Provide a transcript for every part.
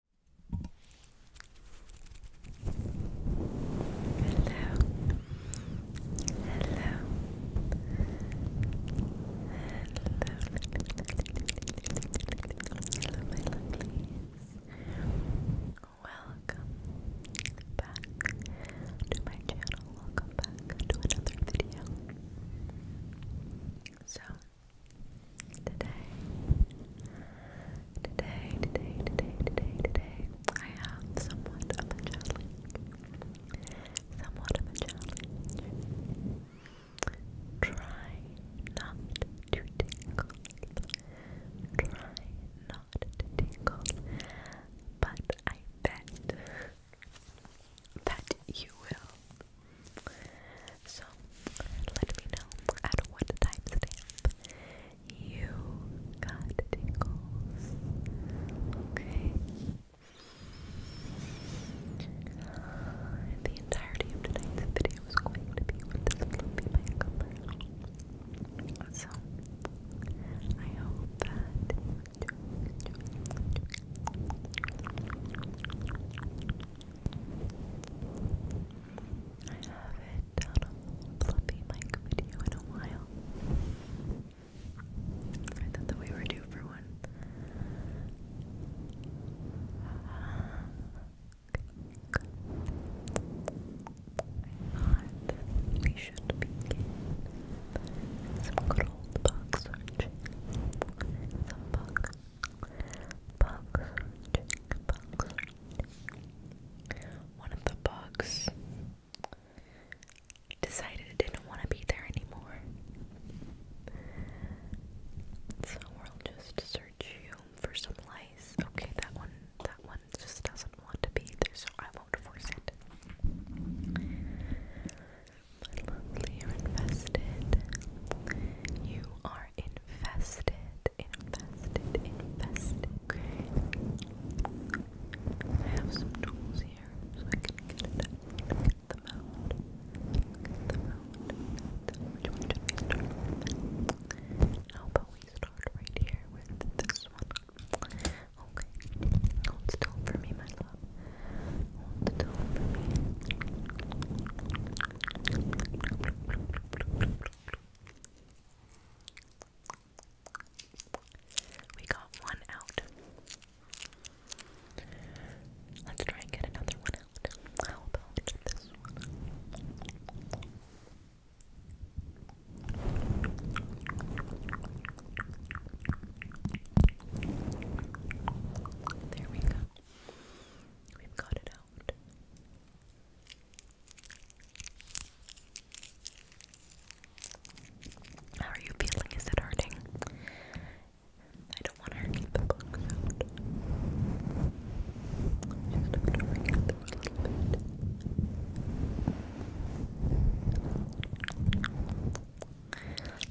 hello, my lovelies. Welcome back to my channel. Welcome back to another video. So, Today, today, today, today, today, today, I have somewhat of a challenge. Somewhat of a challenge. Try not to tingle. Try not to tingle. But I bet that you will so let me know at what timestamp you got tingles. Okay. The entirety of tonight's video is going to be with this fluffy makeup. So I hope that I haven't done a fluffy mic video in a while. I thought that we were due for one. I thought we should begin some good old box searching. Some box Bugs. One of the bugs decided it didn't want to be there anymore. So we'll just search you for some lice. Okay, that one that one just doesn't want to be there, so I won't force it. you're infested. You are infested invested, invested. I have some tools here so I can get them out. Get them out. Which one should we start with? How about we start right here with this one? Okay. Hold still for me, my love. Hold still for me. We got one out. Let's try and get another one out. How about this one? There we go. We've got it out. How are you feeling? Is it hurting? I don't want to hurt the bugs out.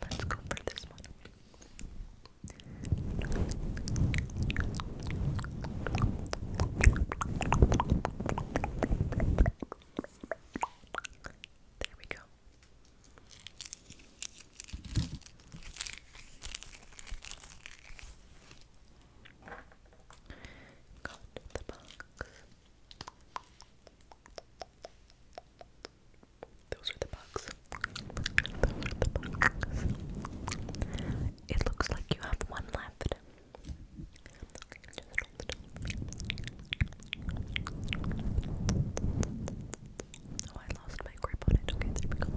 Let's go for this one. There we go. Got the box. Those are the bugs. It looks like you have one left. Oh, I lost my grip on it. Okay, there we go.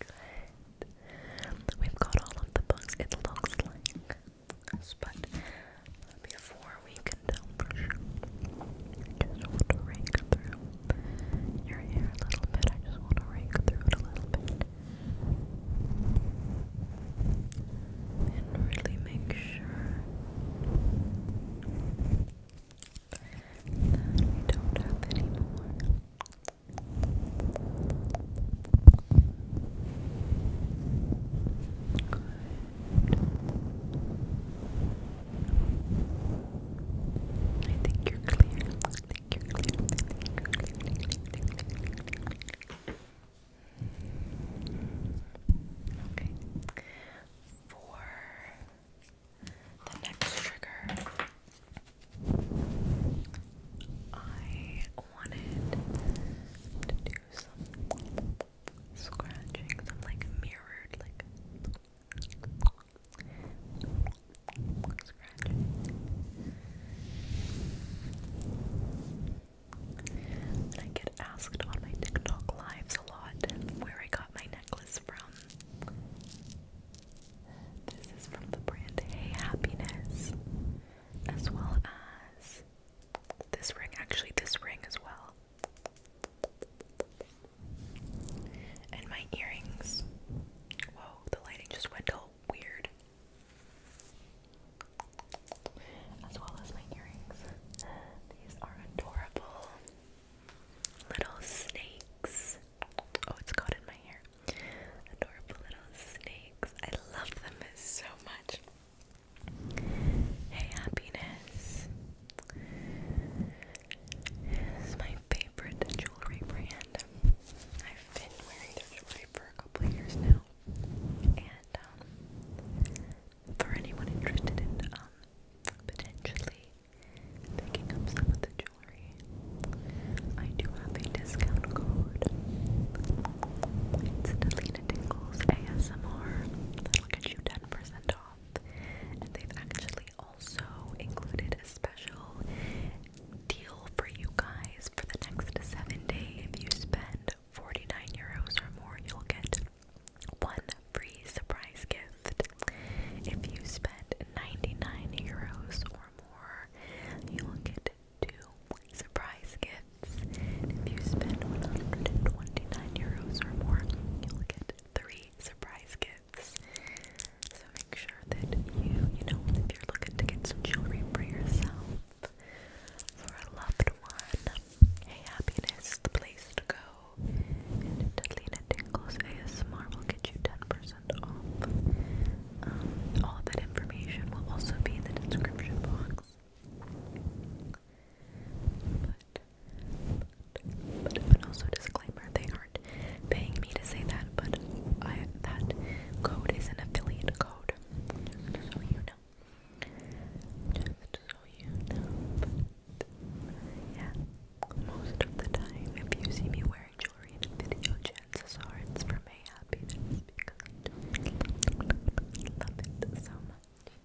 Good. We've got all of the books. It looks like but before we can tell for I just want to rake through your hair a little bit. I just want to rake through it a little bit. And really make sure that we don't have any more. I think you're clear. I think you're clear. I think you're clear. Okay. For the next trigger, I wanted to do some scratching some like mirrored like I get asked on my TikTok lives a lot where I got my necklace from this is from the brand Hey Happiness as well as this ring, actually this ring as well and my earrings. Whoa, the lighting just went all weird. As well as my earrings. These are adorable little snakes. Oh, it's caught in my hair. Adorable little snakes. I love them so much. Hey, happiness. This my favorite jewelry brand. I've been wearing their jewelry for a couple of years now. And um, for anyone interested in um, potentially picking up some of the jewelry, I do have a discount code. Tingles ASMR. That'll you 10% off. And they've actually also included a special deal for you guys for the next seven days. If you spend 49 euros or more, you'll get one free surprise gift. If you spend 99 euros or more, you will get two surprise gifts if you spend 129 euros or more, you'll get three surprise gifts. So make sure that you, you know, if you're looking to get some jewelry for yourself, for a loved one, hey, happiness, the place to go. And Delina Tingles ASMR will get you 10% off. Um, all that information will also be in the description box. But, but, also disclaimer, they aren't paying me to say that, but I that code is an affiliate code. so you know. so you know. yeah. Most of the time if you see me wearing jewelry in video, chances are it's for my happiness because I love it so much.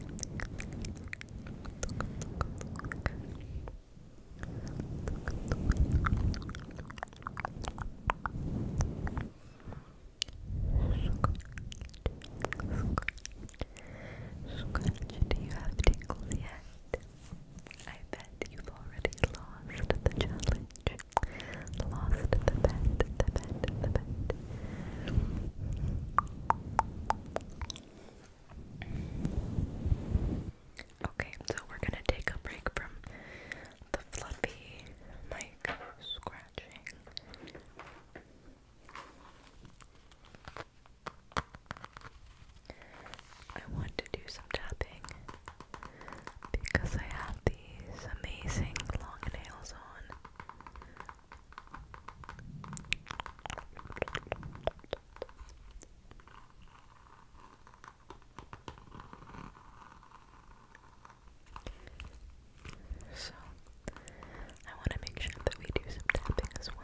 Scratch, do you have tingles yet? I bet you've already lost the challenge. Lost the bet, the bet, the bet. Okay, so we're gonna take a break from the fluffy mic scratching. I want to do some tapping because I have these amazing long nails on. So, I want to make sure that we do some tapping as well.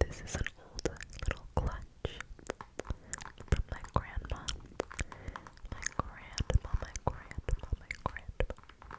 This is an old little clutch from my grandma. My grandma, my grandma, my grandma.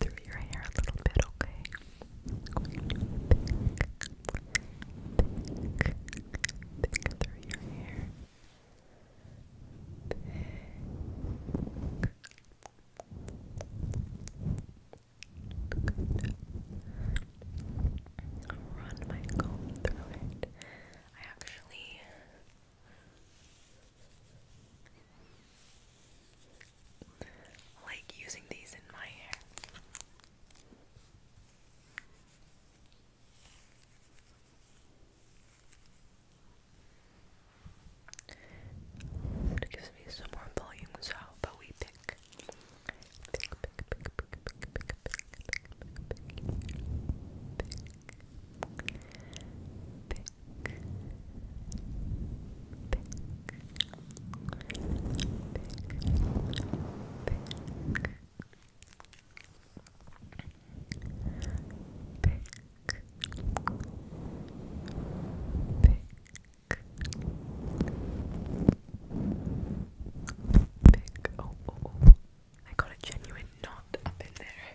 through your hair a little bit, okay? through your hair. run my comb through it. I actually like using these in my hair. It gives me some more volume, so how about we pick? Pick, pick, pick, pick, pick, pick, pick, pick, pick, pick, pick, pick pick, pick, I got a genuine knot up in there.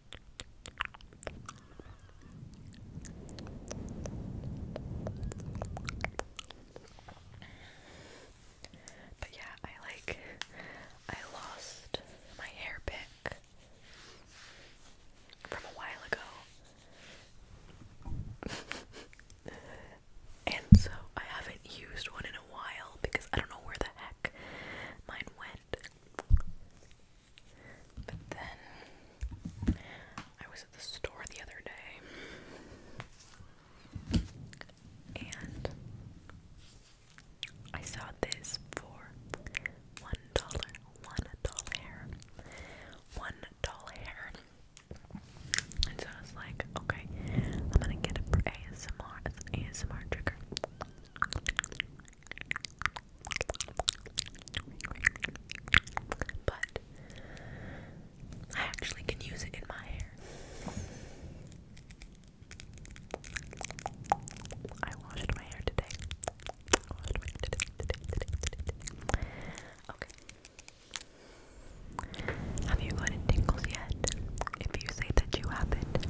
But yeah, I like I lost my hair pick from a while ago. and so I haven't used one in a while because I don't know where the heck mine went. But then I was at the store the other day and I saw this for one dollar, one doll hair, one doll hair. And so I was like, okay, I'm gonna get it for ASMR as an ASMR trigger. But I actually can use it in my hair. I washed my hair today. washed my hair today, today, today, today. Okay. Have you gotten tingles yet? If you say that you haven't,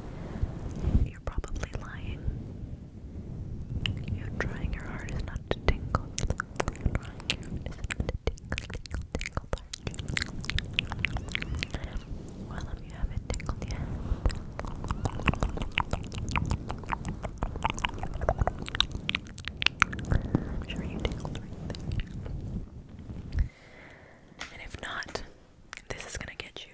you're probably lying. You're trying your hardest not to tingle. Well, let me have it tingled yet. I'm sure you tingled And if not, this is gonna get you.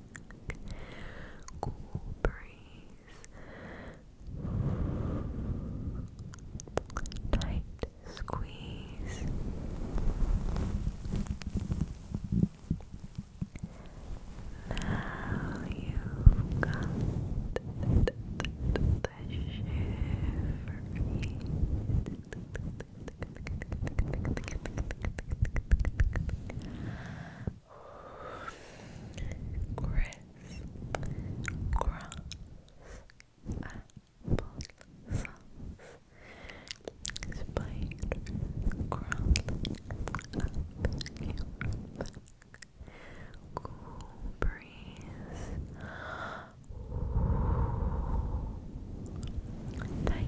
back. Cool breeze. Tight squeeze. Now you've got the shiver. Grass, grass, apple sauce, spider, crawling cool breeze, tight,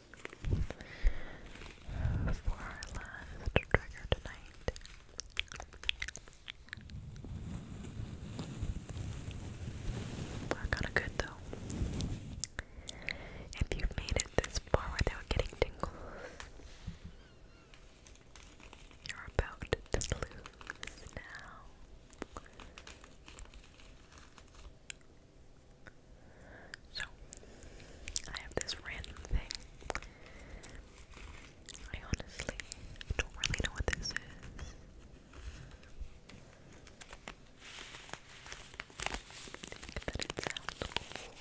for our last trigger tonight. We're kinda good though. If you've made it this far without getting tingles, you're about to lose now. So, I have this random thing. I honestly don't really know what this is. I it sounds cool.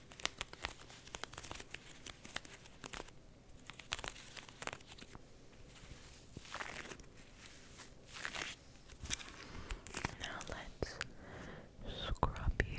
Now let's scrub you.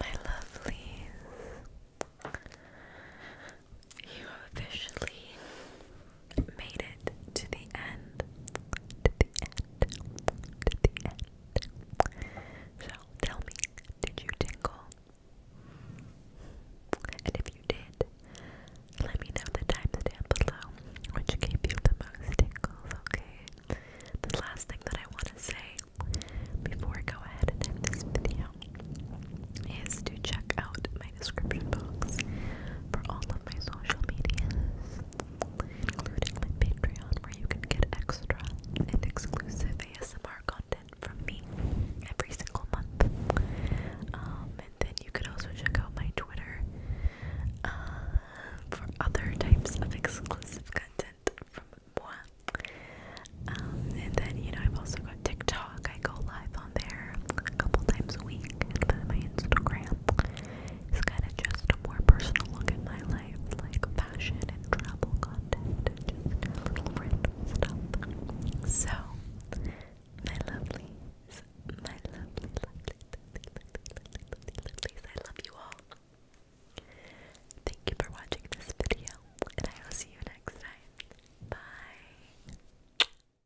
My lovelies, you have officially made it to the end. So tell me, did you tingle? And if you did, let me know the timestamp below which gave you the most tingles, okay? The last thing that I want to say before I go ahead and end this video is to check out description box for all of my social medias, including my Patreon, where you can get extra and exclusive ASMR content from me every single month. Um, and then you can also check out my Twitter uh, for other types of exclusive content from moi. Um, and then, you know, I've also got TikTok. I go live there a couple times a week and put my Instagram. It's kind of just more personal look at my life, like fashion and travel content, just little random stuff. So, my lovelies, my lovely, lovely, lovely, lovely, lovely, lovelies, I love you all. Thank you for watching this video, and I will see you next time. Bye.